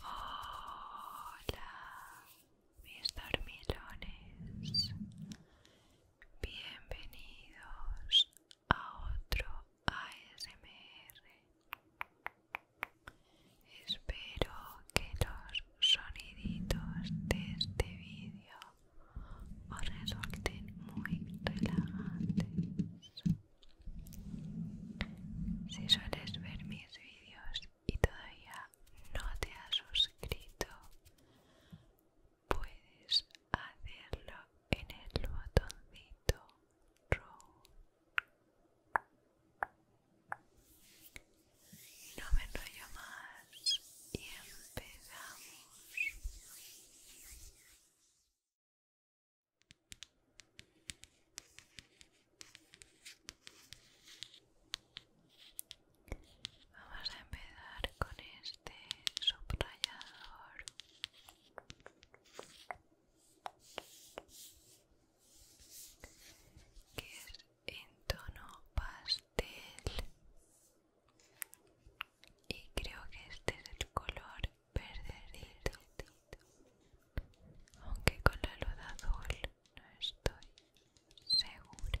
Hola, mis dormilones. Bienvenidos a otro ASMR. Espero que los soniditos de este vídeo os resulten muy relajantes. Si sueles ver mis vídeos y todavía no te has suscrito, puedes hacerlo en el botoncito rojo no me enrollo más y empezamos. Vamos a empezar con este subrayador que es en tono pastel y creo que este es el color verdecito aunque con la luz azul no estoy segura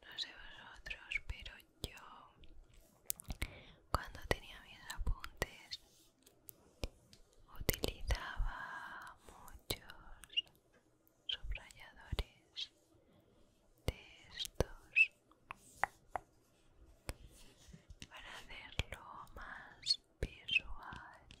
No sé vosotros, pero yo cuando tenía mis apuntes utilizaba muchos subrayadores de estos para hacerlo más visual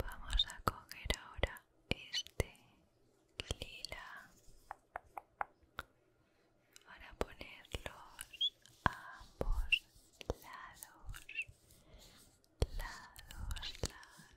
Vamos a coger ahora este lila para ponerlos a ambos lados, lados, lados.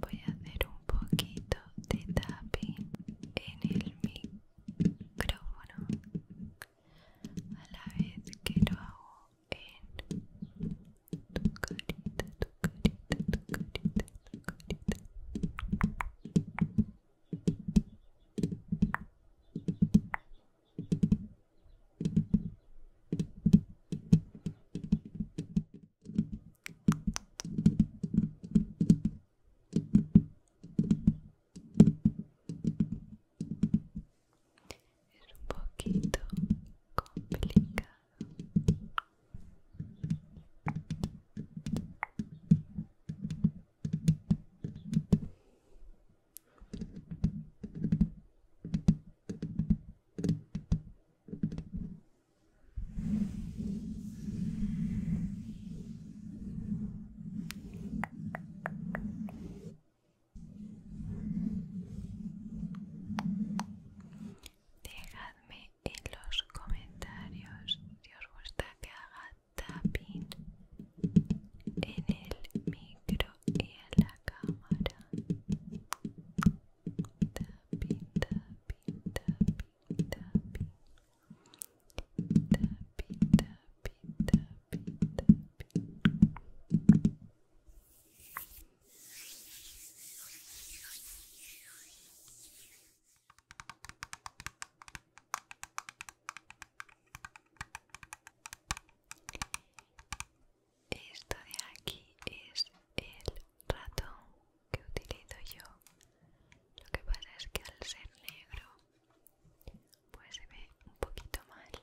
Voy a hacer un poquito de tapping en el micrófono a la vez que lo hago en tu carita, tu carita, tu carita, tu carita. Es un poquito complicado. Dejadme en los comentarios si os gusta que haga tapping en el micro y en la cámara. Tapping, tapping, esto de aquí es el rato que utilizo yo lo que pasa es que al ser negro pues se ve un poquito mal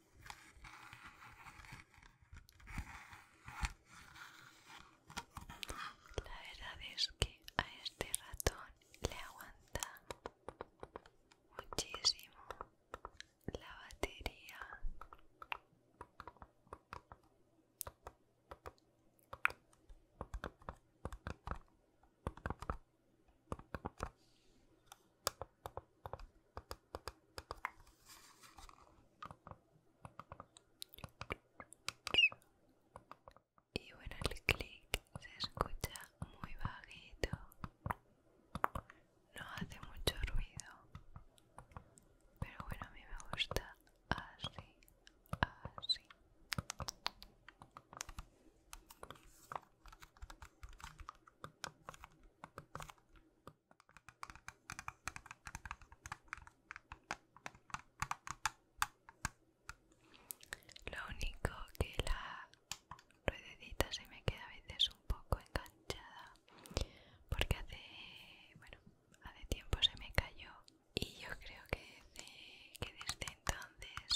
La verdad es que a este ratón le aguanta muchísimo la batería. Y bueno, el clic se escucha muy bajito. No hace mucho ruido. Pero bueno, a mí me gusta así, así. Lo único que la ruedecita se me queda a veces un poco enganchada porque hace bueno hace tiempo se me cayó y yo creo que desde entonces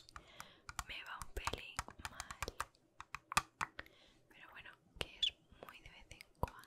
me va un pelín mal pero bueno que es muy de vez en cuando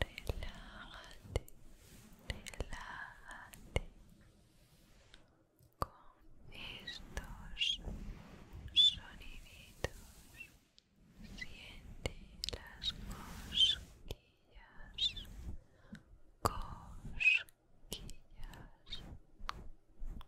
Relájate, relájate con estos sonidos. Siente las cosquillas, cosquillas,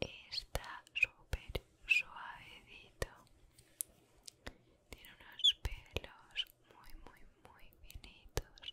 Está súper suavedito. Tiene unos pelos muy, muy, muy finitos.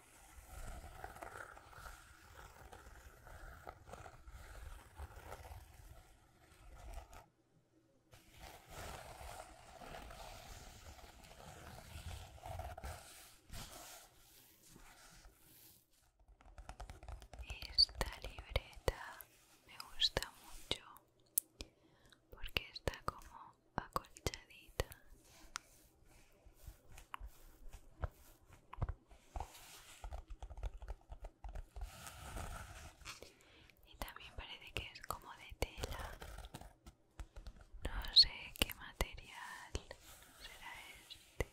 Esta libreta me gusta mucho porque está como acolchadita. Y también parece que es como de tela. No sé qué material será este.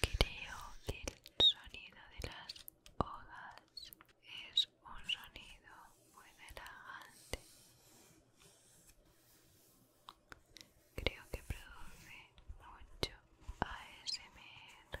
Creo que el sonido de las hojas es un sonido muy relajante. Creo que produce mucho ASMR.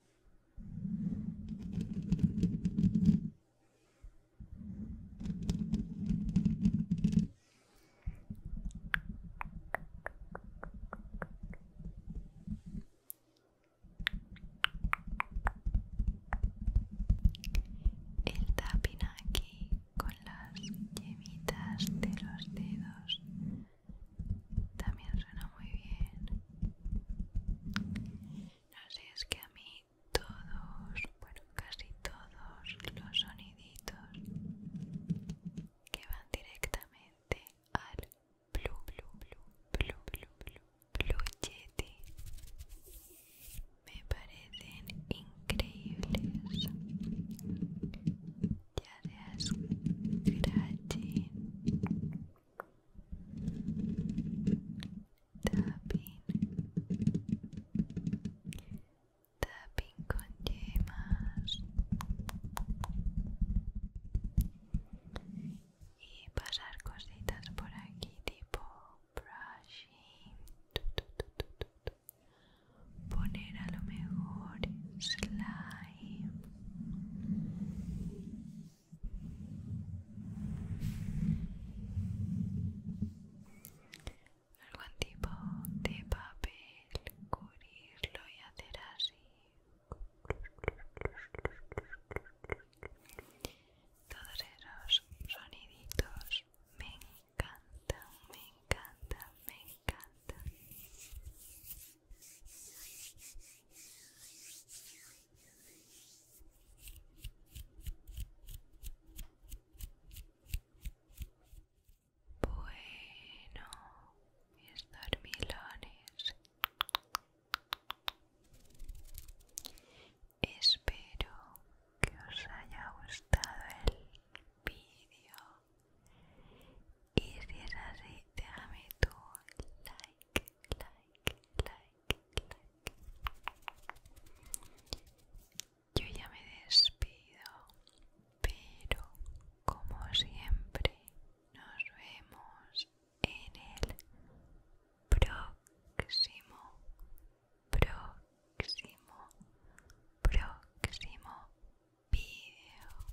El tapina aquí con las yemitas de los dedos también suena muy bien. No sé, es que a mí todos, bueno, casi todos los soniditos que van directamente al blue, blue, blue, blue, me parecen increíbles. Ya seas tapping tapping con yemas y pasar cositas por aquí tipo brushing poner a lo mejor slime algún tipo de papel cubrirlo y hacer así todos esos soniditos me encantan me encantan me encantan bueno, mis dormilones. Espero que os haya gustado el vídeo. Y si es así, déjame tu like, like, like. Yo ya me despido, pero como siempre nos vemos en el próximo, próximo, próximo video.